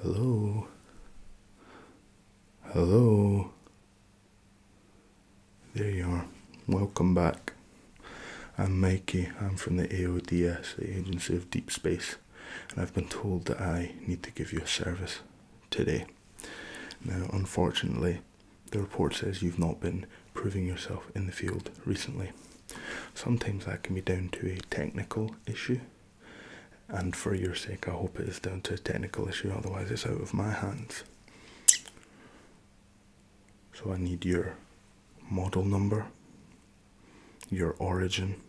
Hello. Hello. There you are. Welcome back. I'm Mikey. I'm from the AODS, the Agency of Deep Space, and I've been told that I need to give you a service today. Now, unfortunately, the report says you've not been proving yourself in the field recently. Sometimes that can be down to a technical issue and for your sake, I hope it is down to a technical issue, otherwise, it's out of my hands. So, I need your model number, your origin,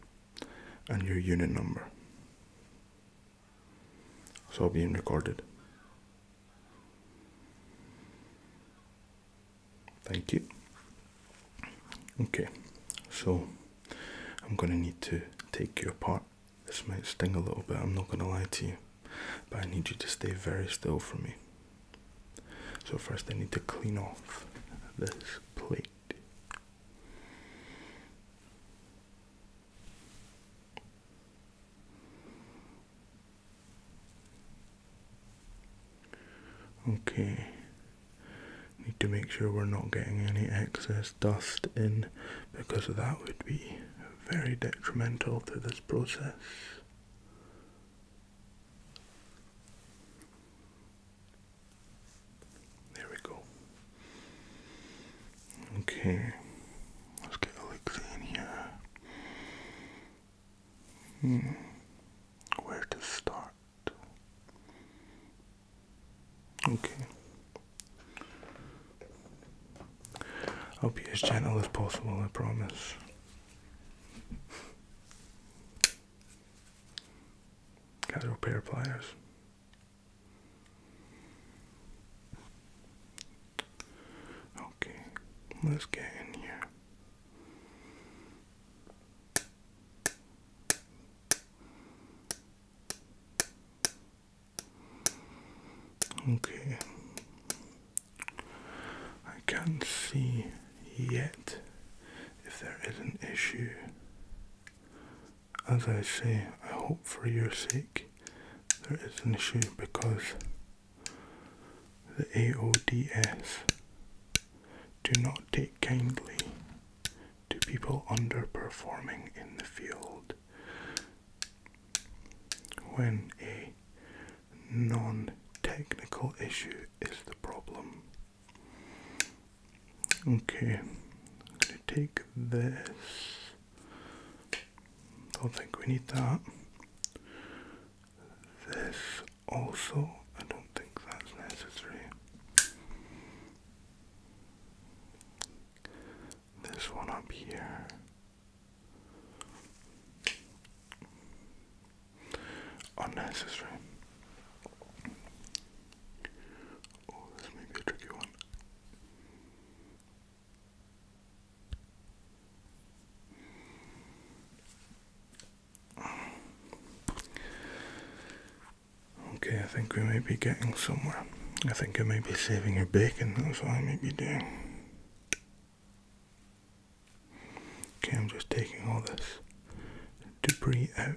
and your unit number. So being recorded. Thank you. Okay, so I'm gonna need to take you apart. This might sting a little bit, I'm not gonna lie to you, but I need you to stay very still for me. So, first, I need to clean off this plate. Okay, Need to make sure we're not getting any excess dust in because that would be very detrimental to this process. There we go. Okay, let's get Alexa Hmm. Where to start? Okay. I'll be as gentle as possible, I promise. Got a pair of pliers. Okay, let's get in here. Okay, I can't see yet if there is an issue. As I say, I hope for your sake there is an issue because the AODS do not take kindly to people underperforming in the field when a non technical issue is the problem. Okay, take this. Don't think we need that. This also, I don't think that's necessary. This one up here. Unnecessary. Oh, this may be a tricky one. Okay, I think we may be getting somewhere. I think I may be saving your bacon, that's what I may be doing. Okay, I'm just taking all this debris out.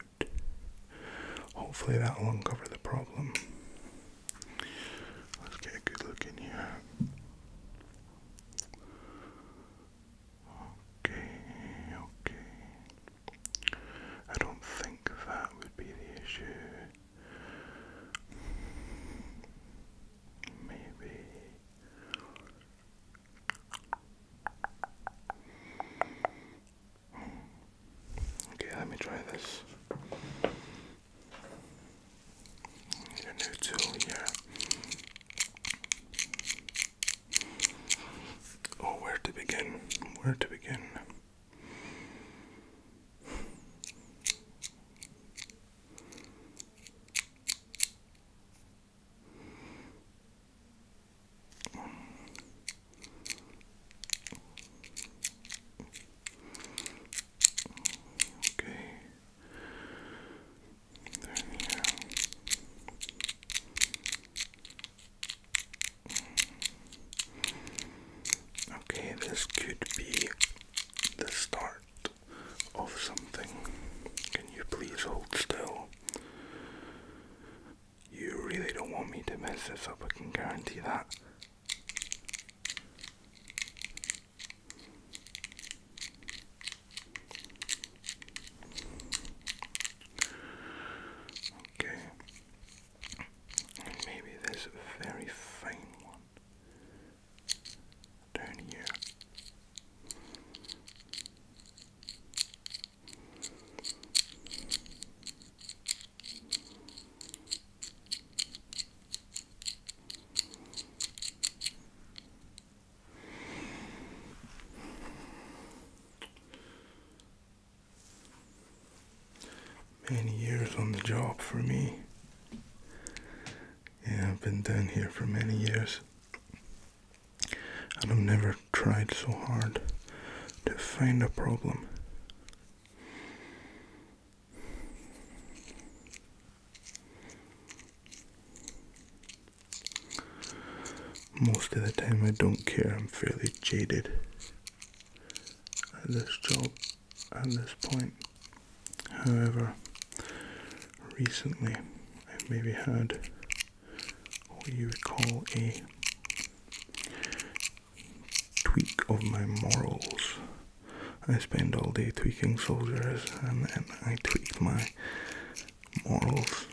Hopefully that'll uncover the problem. Let's get a good look in here. Okay, okay. I don't think that would be the issue. Maybe. Okay, let me try this a new tool here. Oh, where to begin? Where to begin? Okay. There we go. Okay, this could be the start of something. Can you please hold still? You really don't want me to mess this up, I can guarantee that. Okay. And maybe this very fine one down here. Many years on the job for me. Yeah, I've been down here for many years. And I've never tried so hard to find a problem. Most of the time, I don't care, I'm fairly jaded at this job at this point. However, recently I've maybe had what you would call a tweak of my morals. I spend all day tweaking soldiers and then I tweak my morals.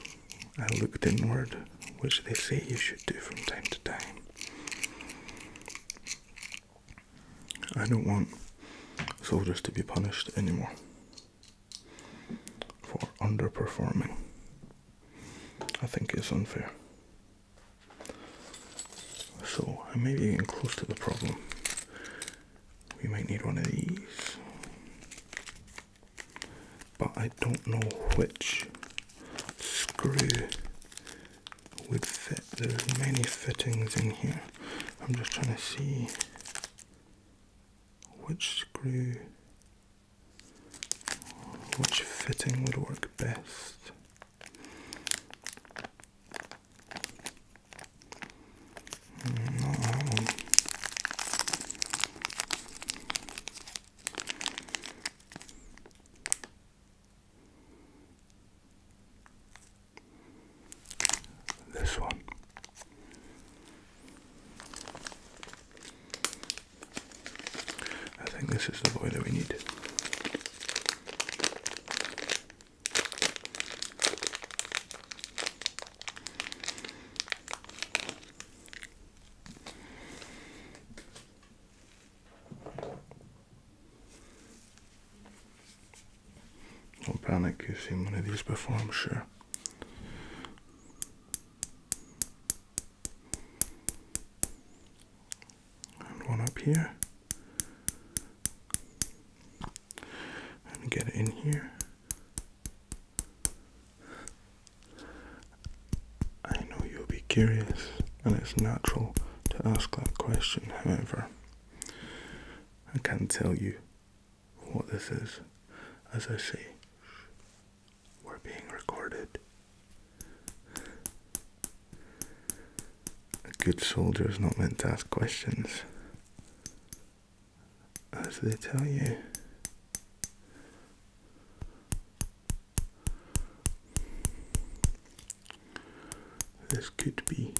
I looked inward, which they say you should do from time to time. I don't want soldiers to be punished anymore for underperforming. I think it's unfair. So I may be getting close to the problem. We might need one of these. But I don't know which screw would fit. There's many fittings in here. I'm just trying to see which screw, which fitting would work best. This one. I think this is the boy that we need. No panic, you've seen one of these before, I'm sure and one up here and get it in here. I know you'll be curious, and it's natural to ask that question, however, I can't tell you what this is. As I say, we're being recorded. A good soldier is not meant to ask questions, as they tell you. This could be.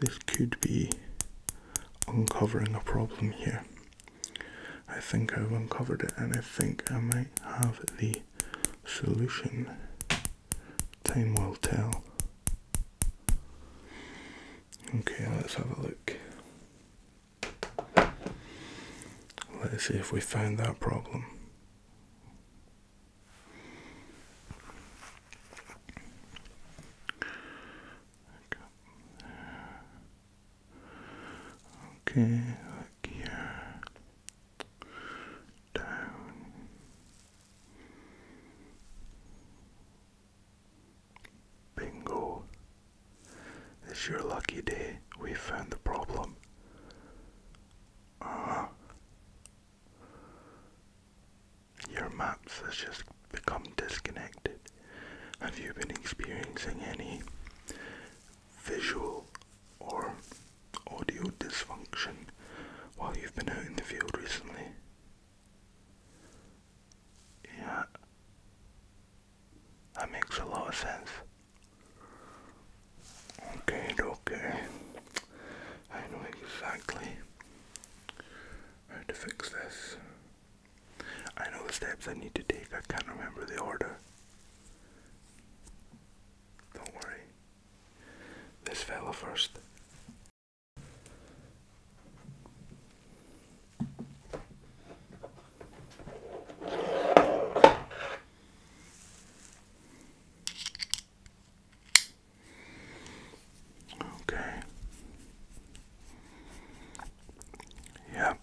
This could be uncovering a problem here. I think I've uncovered it and I think I might have the solution. Time will tell. Okay, let's have a look. Let's see if we find that problem. Okay, look here. Down. Bingo. It's your lucky day. We found the problem. Ah. your maps has just become disconnected. Have you been experiencing any visual or audio dysfunction while you've been out in the field recently? Yeah, that makes a lot of sense. Okay, okay. I know exactly how to fix this. I know the steps I need to take. I can't remember the order. Don't worry. This fella first. Okay. Yeah.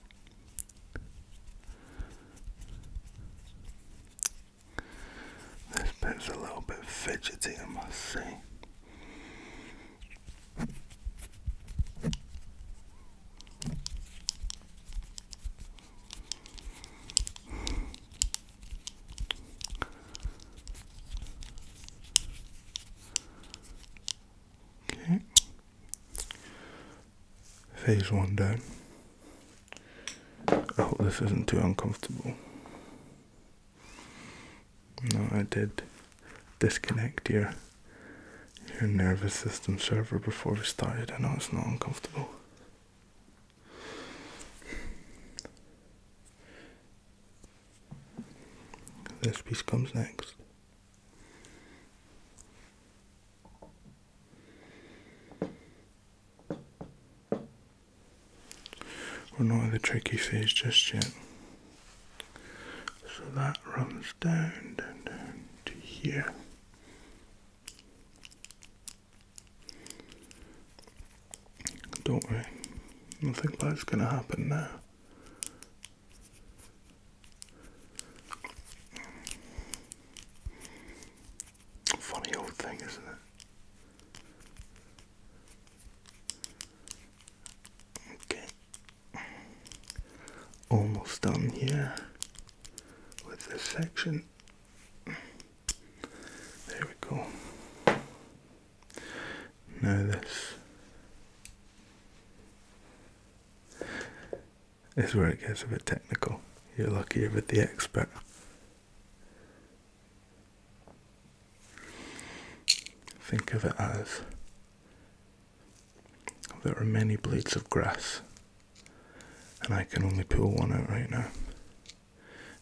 This pen's a little bit fidgety, I must say. Okay. Phase one done. I hope this isn't too uncomfortable. No, I did disconnect your your nervous system server before we started. I know it's not uncomfortable. This piece comes next. We're not in the tricky phase just yet. So that runs down, down, down to here. Don't worry, nothing bad's going to happen now. Funny old thing, isn't it? Okay. Almost done here with this section. There we go. Now this is where it gets a bit technical. You're lucky you're with the expert. Think of it as there are many blades of grass, and I can only pull one out right now.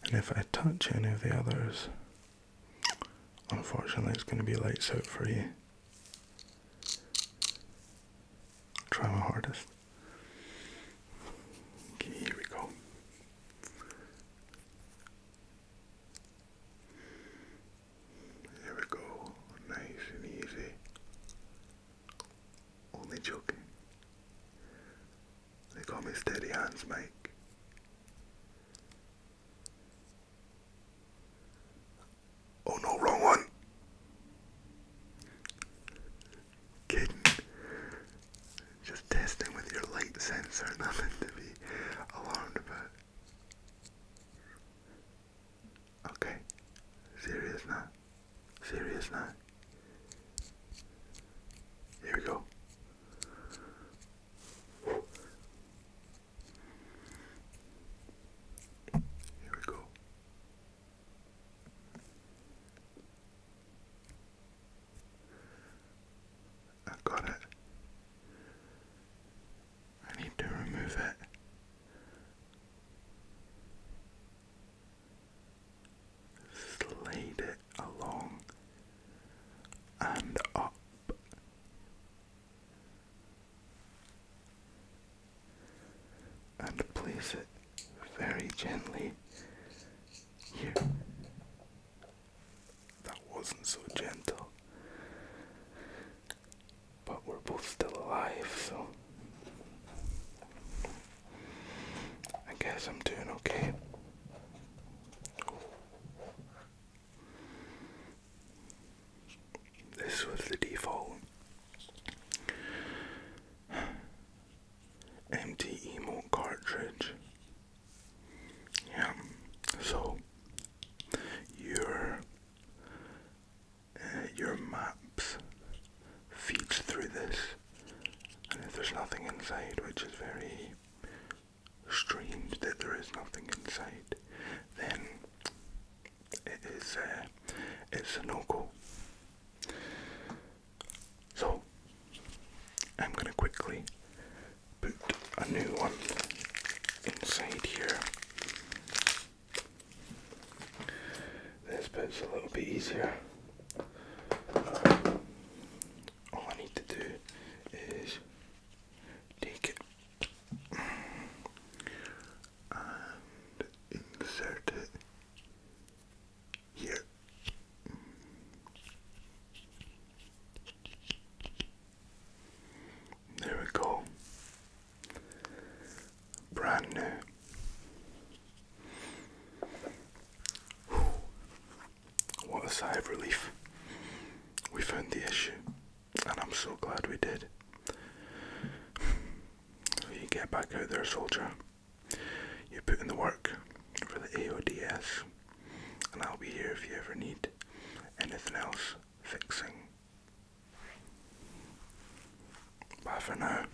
And if I touch any of the others, Unfortunately, it's going to be lights out for you. Try my hardest. Okay, here we go. There we go. Nice and easy. Only joking. They call me Steady Hands Mike. Oh no, wrong one. Caden, just testing with your light sensor, nothing to be alarmed about. Okay, serious now, serious now. Here we go. Here we go. I've got it. I need to remove it. Slide it along and up. And place it very gently here. That wasn't so gentle. But we're both still alive, so I guess I'm doing okay. This was the default. Empty emote cartridge. Yeah, so your uh, your maps feeds through this, and if there's nothing inside, which is very strange that there is nothing inside, then it is uh, it's a no So I'm gonna quickly put a new one inside here. This bit's a little bit easier all I need to do is take it and insert it here. There we go. Brand new. What a sigh of relief. We found the issue, and I'm so glad we did. You get back out there, soldier. You put in the work for the AODS, and I'll be here if you ever need anything else fixing. Bye for now.